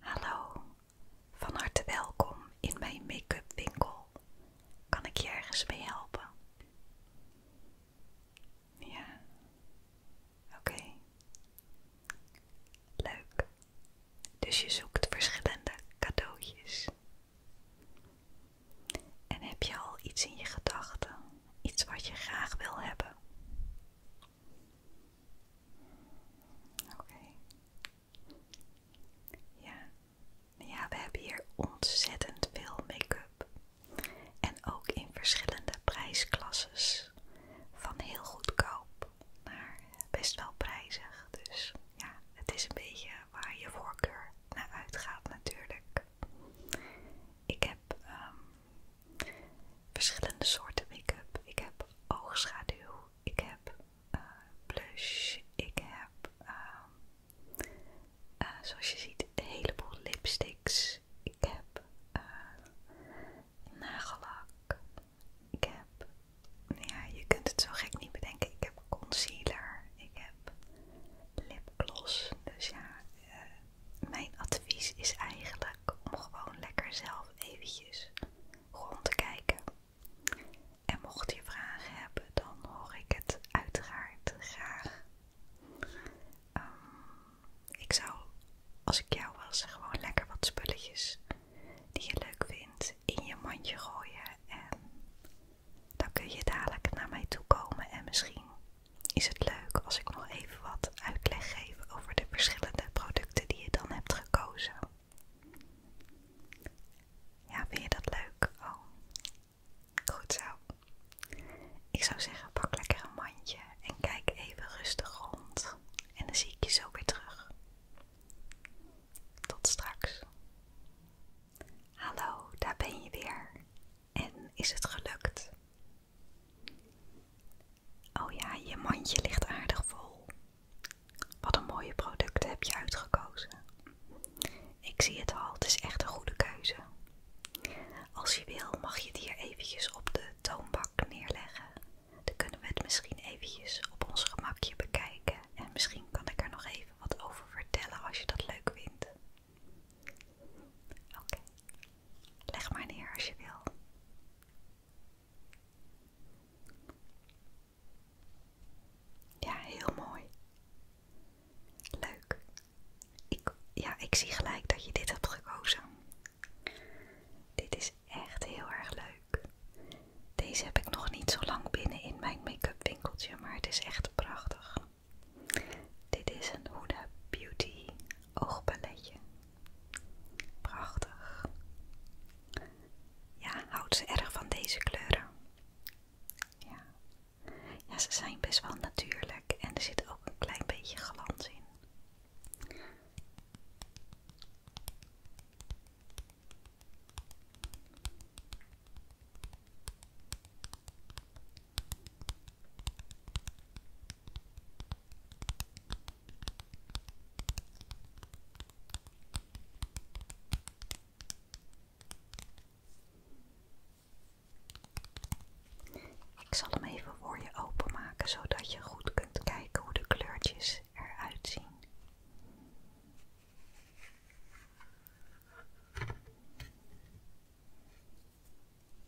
Hallo, van harte welkom in mijn make-up winkel. Kan ik je ergens mee helpen? Ja, oké. Leuk. Dus je zoekt verschillende cadeautjes. En heb je al iets in je gedachten? Iets wat je graag wil hebben? Oké. Ja. ja, we hebben hier ontzettend veel make-up. En ook in verschillende prijsklasses. Van heel goedkoop naar best wel prijzig. Dus ja, het is een beetje waar je voorkeur naar uitgaat natuurlijk. Ik heb ehm, verschillende soorten make-up. Ik heb oogschaduw, ik heb eh, blush, ik heb, ehm, eh, zoals je ziet, een heleboel lipsticks. Ik heb eh, nagellak. Ik heb, nou ja, je kunt het zo gek niet bedenken. Ik heb concealer. Ik heb lipgloss. Dus ja, mijn advies is eigenlijk om gewoon lekker zelf even eventjes rond te kijken. En mocht je vragen hebben, dan hoor ik het uiteraard graag. Ehm, ik zou, als ik jou was, gewoon lekker wat spulletjes die je leuk vindt in je mandje gooien. En dan kun je dadelijk naar mij toe komen. En misschien is het leuk als ik nog even wat uitleg geef over de verschillende producten die je dan hebt gekozen. Ja, vind je dat leuk? Oh, goed zo. Ik zou zeggen, pak lekker een mandje en kijk even rustig rond. En dan zie ik je zo weer terug. Tot straks. Hallo, daar ben je weer. En is het gelukt? Oh ja, je mandje ligt aardig vol. Wat een mooie producten heb je uitgekozen. Ik zie het al, het is echt een goede keuze. Als je wil, mag je het hier eventjes op de toonbak neerleggen. Dan kunnen we het misschien eventjes op ons gemakje bekijken. En misschien kan ik er nog even wat over vertellen als je dat leuk vindt. Oké, leg maar neer als je wil. Ja, heel mooi. Leuk. Ik, ja, ik zie gelijk dat je dit hebt gekozen. Dit is echt heel erg leuk. Deze heb ik nog niet zo lang binnen in mijn make-up winkeltje, maar het is echt prachtig. Dit is een Huda Beauty oogballetje Prachtig. Ja, houdt ze erg van deze kleuren. Ja. ja, ze zijn best wel natuurlijk en er zit ook een klein beetje glans in. Ik zal hem even voor je openmaken zodat je goed kunt kijken hoe de kleurtjes eruit zien.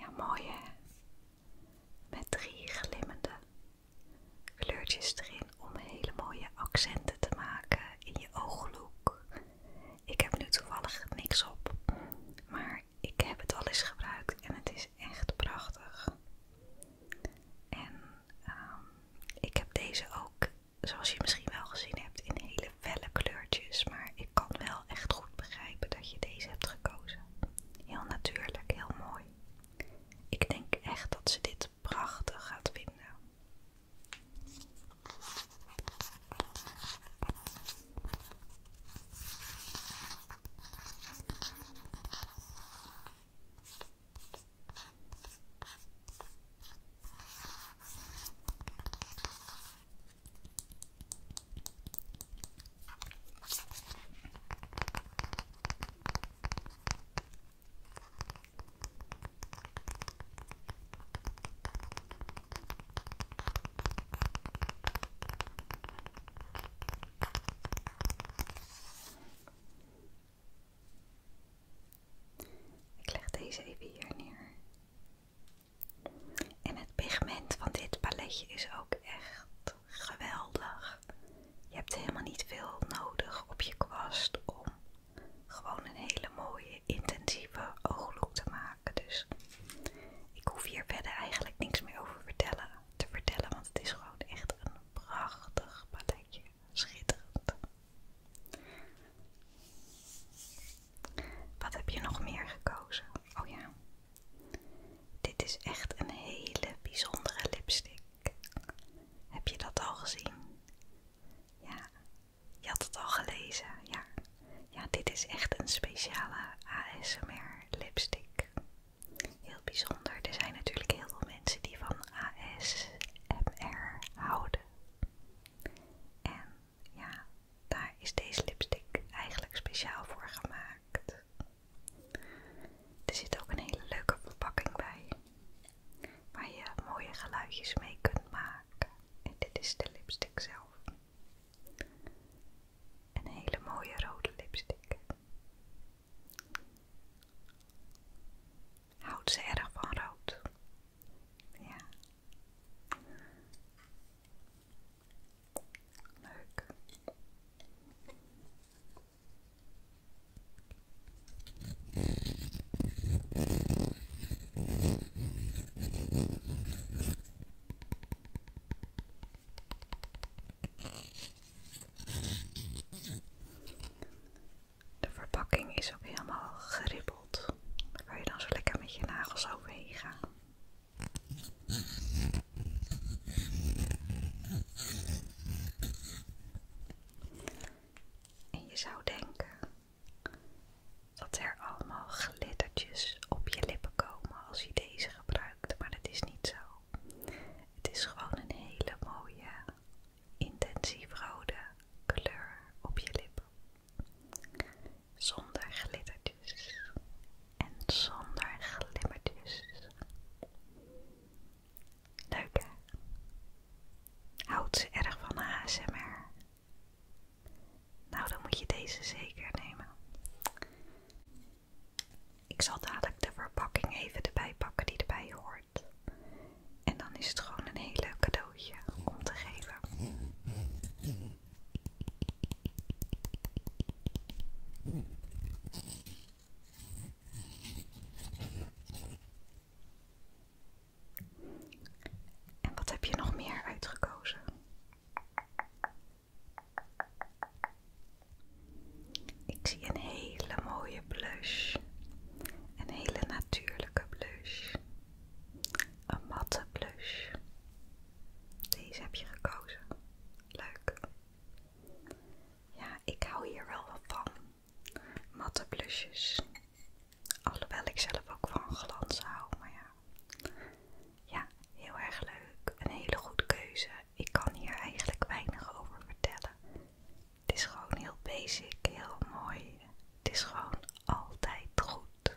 Ja, mooie hè? Met drie glimmende kleurtjes erin om hele mooie accenten te maken in je ooglook. Ik heb nu toevallig niks op, maar ik heb het al eens gebruikt en het is echt prachtig. En ehm, ik heb deze ook, zoals je misschien wel gezien hebt, in hele felle kleurtjes, maar ik kan wel echt goed begrijpen dat je deze hebt gekozen. Heel natuurlijk, heel mooi. Ik denk echt dat ze dit prachtig gaat vinden. Ik leg deze even hier neer. En het pigment van dit paletje is ook echt geweldig. Je hebt helemaal niet veel nodig op je kwast om gewoon een hele mooie intensieve ooglook te maken. Dus ik hoef hier verder eigenlijk niks meer over vertellen, te vertellen, want het is gewoon echt een prachtig paletje. Schitterend. Wat heb je nog meer gekozen? Oh ja, dit is echt een hele bijzondere lipstick. Heb je dat al gezien? Ja, je had het al gelezen. Ja, ja dit is echt een speciale ASMR lipstick. Heel bijzonder. Er zijn natuurlijk heel veel mensen die van ASMR houden. En ja, daar is deze lipstick eigenlijk speciaal voor gemaakt. Er zit ook een hele leuke verpakking bij, waar je mooie geluidjes mee kunt maken. En dit is de lipstick zelf. Een hele mooie rode lipstick. Houdt ze erg van rood? Ja. Leuk. De verpakking is ook helemaal geribbeld. kan je dan zo lekker met je nagels overheen gaan. En je zou denken dat er allemaal glittertjes op je lippen komen als je deze gebruikt, maar dat is niet zo. Het is gewoon een hele mooie, intensief rode kleur op je lippen. Zonder glittertjes en zonder glimmertjes. Leuk hè? Houdt ze erg van ASMR? Nou, dan moet je deze zeker nemen. Ik zal dadelijk de verpakking even erbij pakken die erbij hoort. En dan is het gewoon een heel leuk cadeautje om te geven. En wat heb je nog meer uitgekozen? Ik zie een hele mooie blush. Een hele natuurlijke blush. Een matte blush. Deze heb je gekozen. Leuk. Ja, ik hou hier wel wat van. Matte blusjes. Alhoewel ik zelf ook van glans hou, maar ja. Ja, heel erg leuk. Een hele goede keuze. Ik kan hier eigenlijk weinig over vertellen. Het is gewoon heel basic, heel mooi. Het is gewoon altijd goed.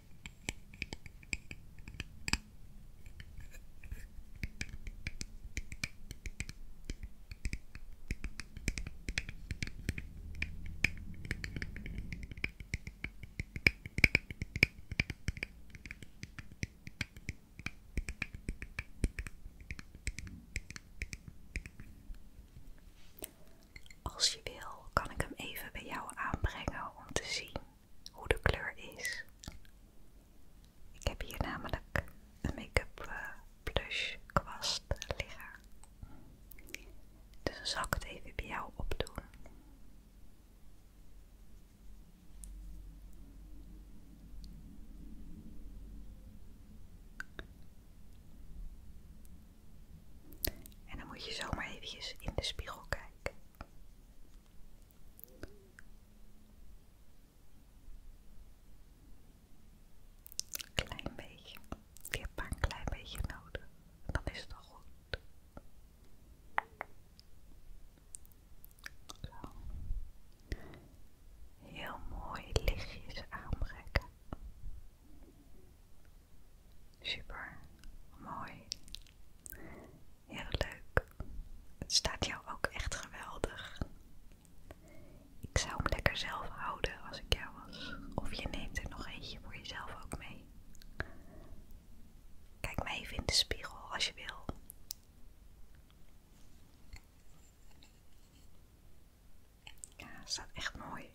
Als je wil, kan ik hem even bij jou aanbrengen om te zien hoe de kleur is. Ik heb hier namelijk een make-up plush eh, kwast liggen. Dus dan zal ik het even bij jou opdoen. En dan moet je zomaar eventjes in de spiegel kijken. Klein beetje. Je hebt maar een klein beetje nodig. Dan is het al goed. Heel mooi lichtjes aanbrekken. Super mooi. Heel leuk. Het staat jou ook echt geweldig. Ik zou hem lekker zelf houden als ik jou was. Of je neemt er nog eentje voor jezelf ook mee. Kijk maar even in de spiegel als je wil. Ja, het staat echt mooi.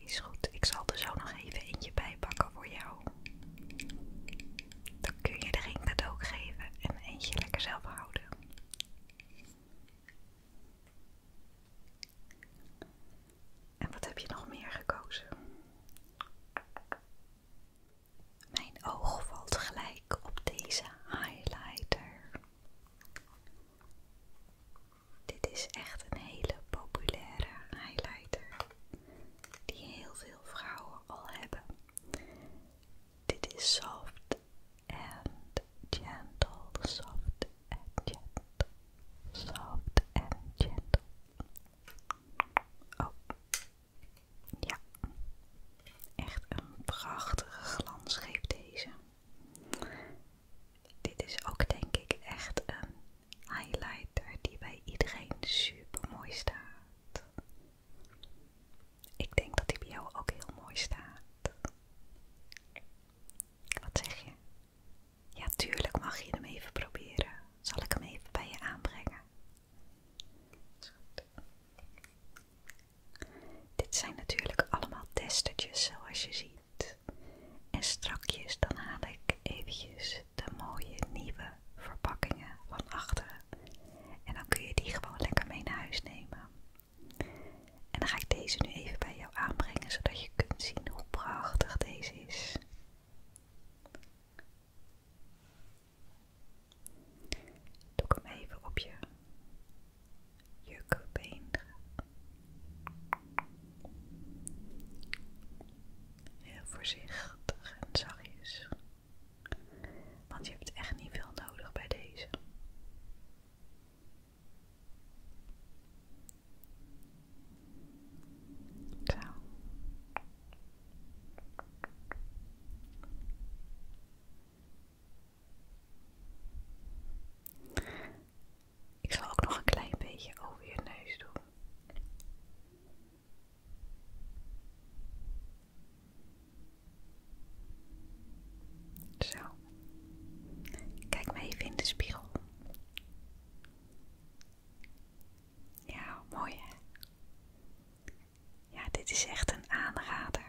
Is goed, ik zal er zo nog even eentje bij pakken voor jou. Dan kun je de ring cadeau geven en eentje lekker zelf houden. En wat heb je nog meer gekozen? Mijn oog valt gelijk op deze highlighter. Dit is echt een hele populaire highlighter die heel veel vrouwen al hebben. Dit is soft and gentle, soft and gentle, soft and gentle. Oh, ja, echt een prachtige glans geeft deze. Dit is ook denk ik echt een highlighter die bij iedereen super mooi staat. Ik denk dat die bij jou ook heel mooi staat. Wat zeg je? Ja, tuurlijk mag je hem even proberen. Zal ik hem even bij je aanbrengen? Is goed. Dit zijn natuurlijk allemaal testertjes zoals je ziet. En strakjes dan haal ik eventjes de mooie nieuwe verpakkingen van achteren. En dan kun je die gewoon lekker mee naar huis nemen. En dan ga ik deze nu even bij jou aanbrengen zodat je kunt zien hoe prachtig deze is. Doe ik hem even op je jukbeen gaat. Heel voorzichtig en zachtjes. Want je hebt echt niet veel nodig bij deze. Zo. Ik zal ook nog een klein beetje over je neus doen. Zo. Kijk me even in de spiegel. Ja, mooi hè? Ja, dit is echt een aanrader.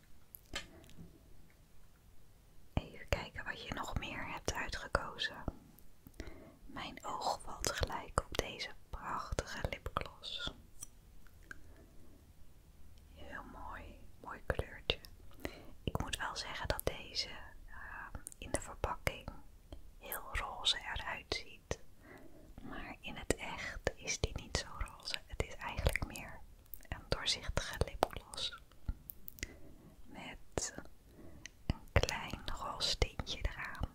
Even kijken wat je nog meer hebt uitgekozen. Mijn oog valt gelijk op deze prachtige lipgloss. Heel mooi, mooi kleurtje. Ik moet wel zeggen dat deze ehm, in de verpakking heel roze eruit ziet. Maar in het echt is die niet zo roze. Het is eigenlijk meer een doorzichtige lipgloss. Met een klein roze tintje eraan.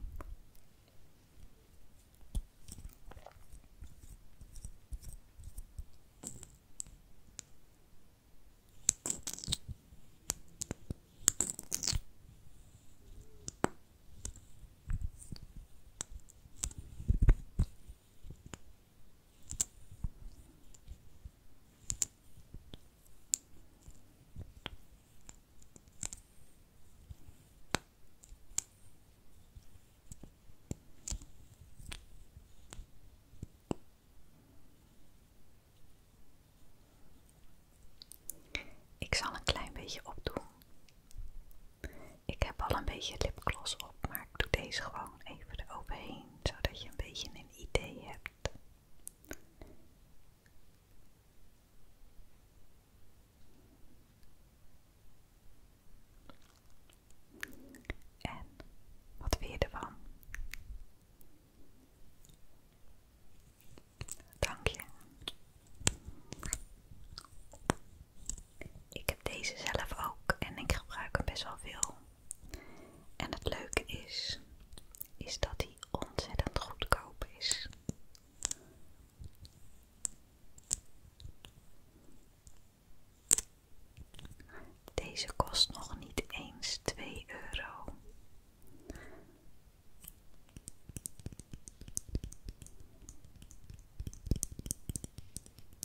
Ik zal een klein beetje opdoen. Ik heb al een beetje lipgloss op, ik doe deze gewoon even eroverheen, zodat je een beetje een idee hebt. En wat weer ervan? Dank je. Ik heb deze zelf ook en ik gebruik hem best wel veel. En het leuke is, is dat hij ontzettend goedkoop is. Deze kost nog niet eens twee euro.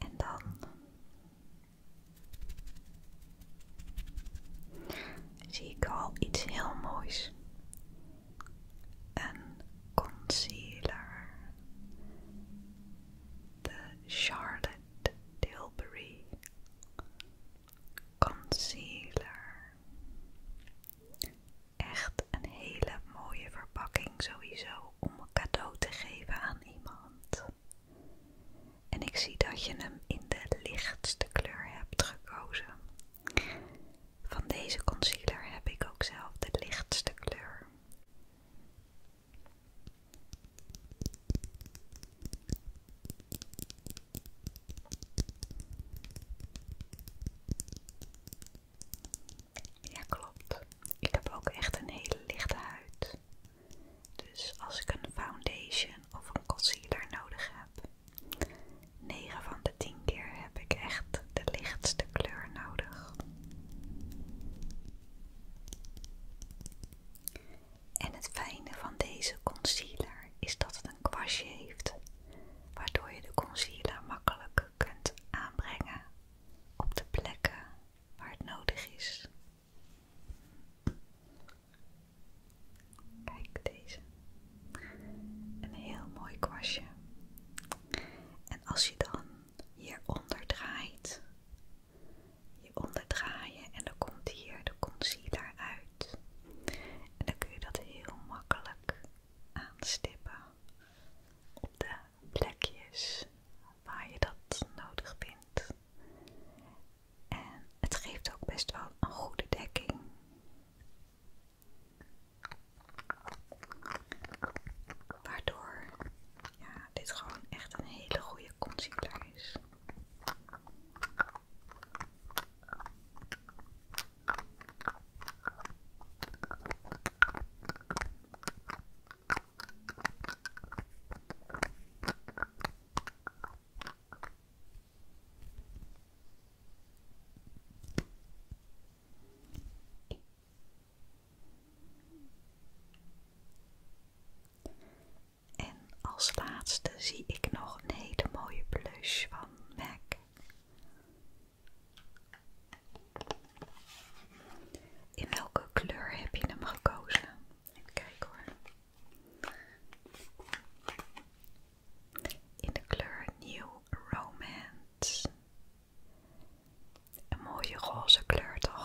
En dan zie ik al iets heel moois. Een concealer. De Charlotte Tilbury concealer. Echt een hele mooie verpakking sowieso om een cadeau te geven aan iemand. En ik zie dat je hem in de lichtste kleur hebt gekozen. Van deze concealer heb ik ook zelf de lichtste kleur. Ja, klopt. Ik heb ook echt een hele lichte huid. Dus als ik een foundation of een concealer nodig heb, 9 van de 10 keer heb ik echt de lichtste kleur nodig. En het fijne van deze concealer is dat het een kwastje heeft, waardoor je de concealer makkelijk kunt aanbrengen op de plekken waar het nodig is. Kijk deze. Een heel mooi kwastje. En als je dan hieronder draait, hieronder draaien en dan komt hier de concealer uit. En dan kun je dat heel makkelijk aanstippen op de plekjes waar je dat nodig vindt. En het geeft ook best wel een goede dekking. Waardoor ja, dit gewoon echt een hele goede concealer is. En als laatste zie ik nog een hele mooie blush van MAC. In welke kleur heb je hem gekozen? Even kijken hoor. In de kleur New Romance. Een mooie roze kleur toch?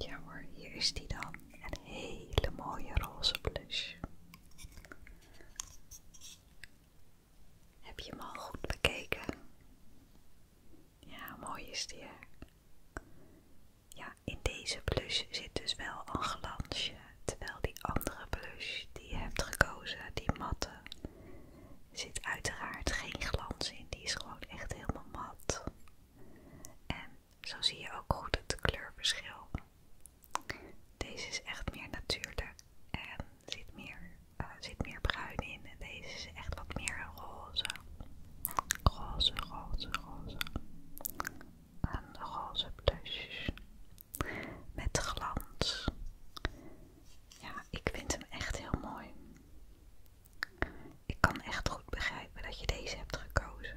Ja hoor, hier is die dan. Een hele mooie roze blush. Heb je hem al goed bekeken? Ja, mooi is die. Hè? Ja, in deze blush zit dus wel een glansje, terwijl die andere blush die je hebt gekozen, die matte, zit uiteraard geen glans in. Die is gewoon echt helemaal mat. En zo zie je ook goed het kleurverschil. Deze is echt meer natuurlijk en zit meer, eh, zit meer bruin in. En deze is echt wat meer roze. Roze, roze, roze. Een roze blush. Met glans. Ja, ik vind hem echt heel mooi. Ik kan echt goed begrijpen dat je deze hebt gekozen.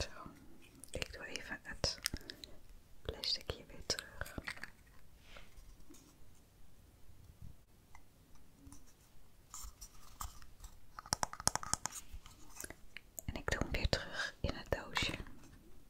Zo, ik doe even het plasticje weer terug. En ik doe hem weer terug in het doosje.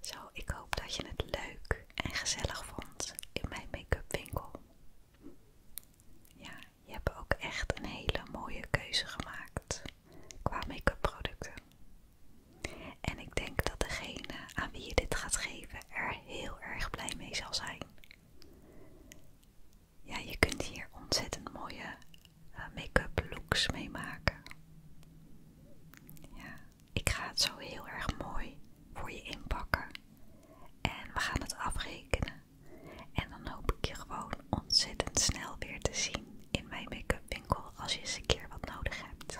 Zo, ik hoop dat je het leuk en gezellig vond in mijn make-up winkel. Ja, je hebt ook echt een hele mooie keuze gemaakt qua make-up producten. En ik denk dat degene aan wie je dit gaat geven er heel erg blij mee zal zijn. Ja, je kunt hier ontzettend mooie eh, make-up looks mee maken. ik ga het zo heel erg mooi voor je inpakken. En we gaan het afrekenen. En dan hoop ik je gewoon ontzettend snel weer te zien in mijn make-up winkel als je eens een keer wat nodig hebt.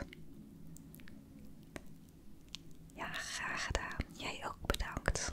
Ja, graag gedaan. Jij ook bedankt.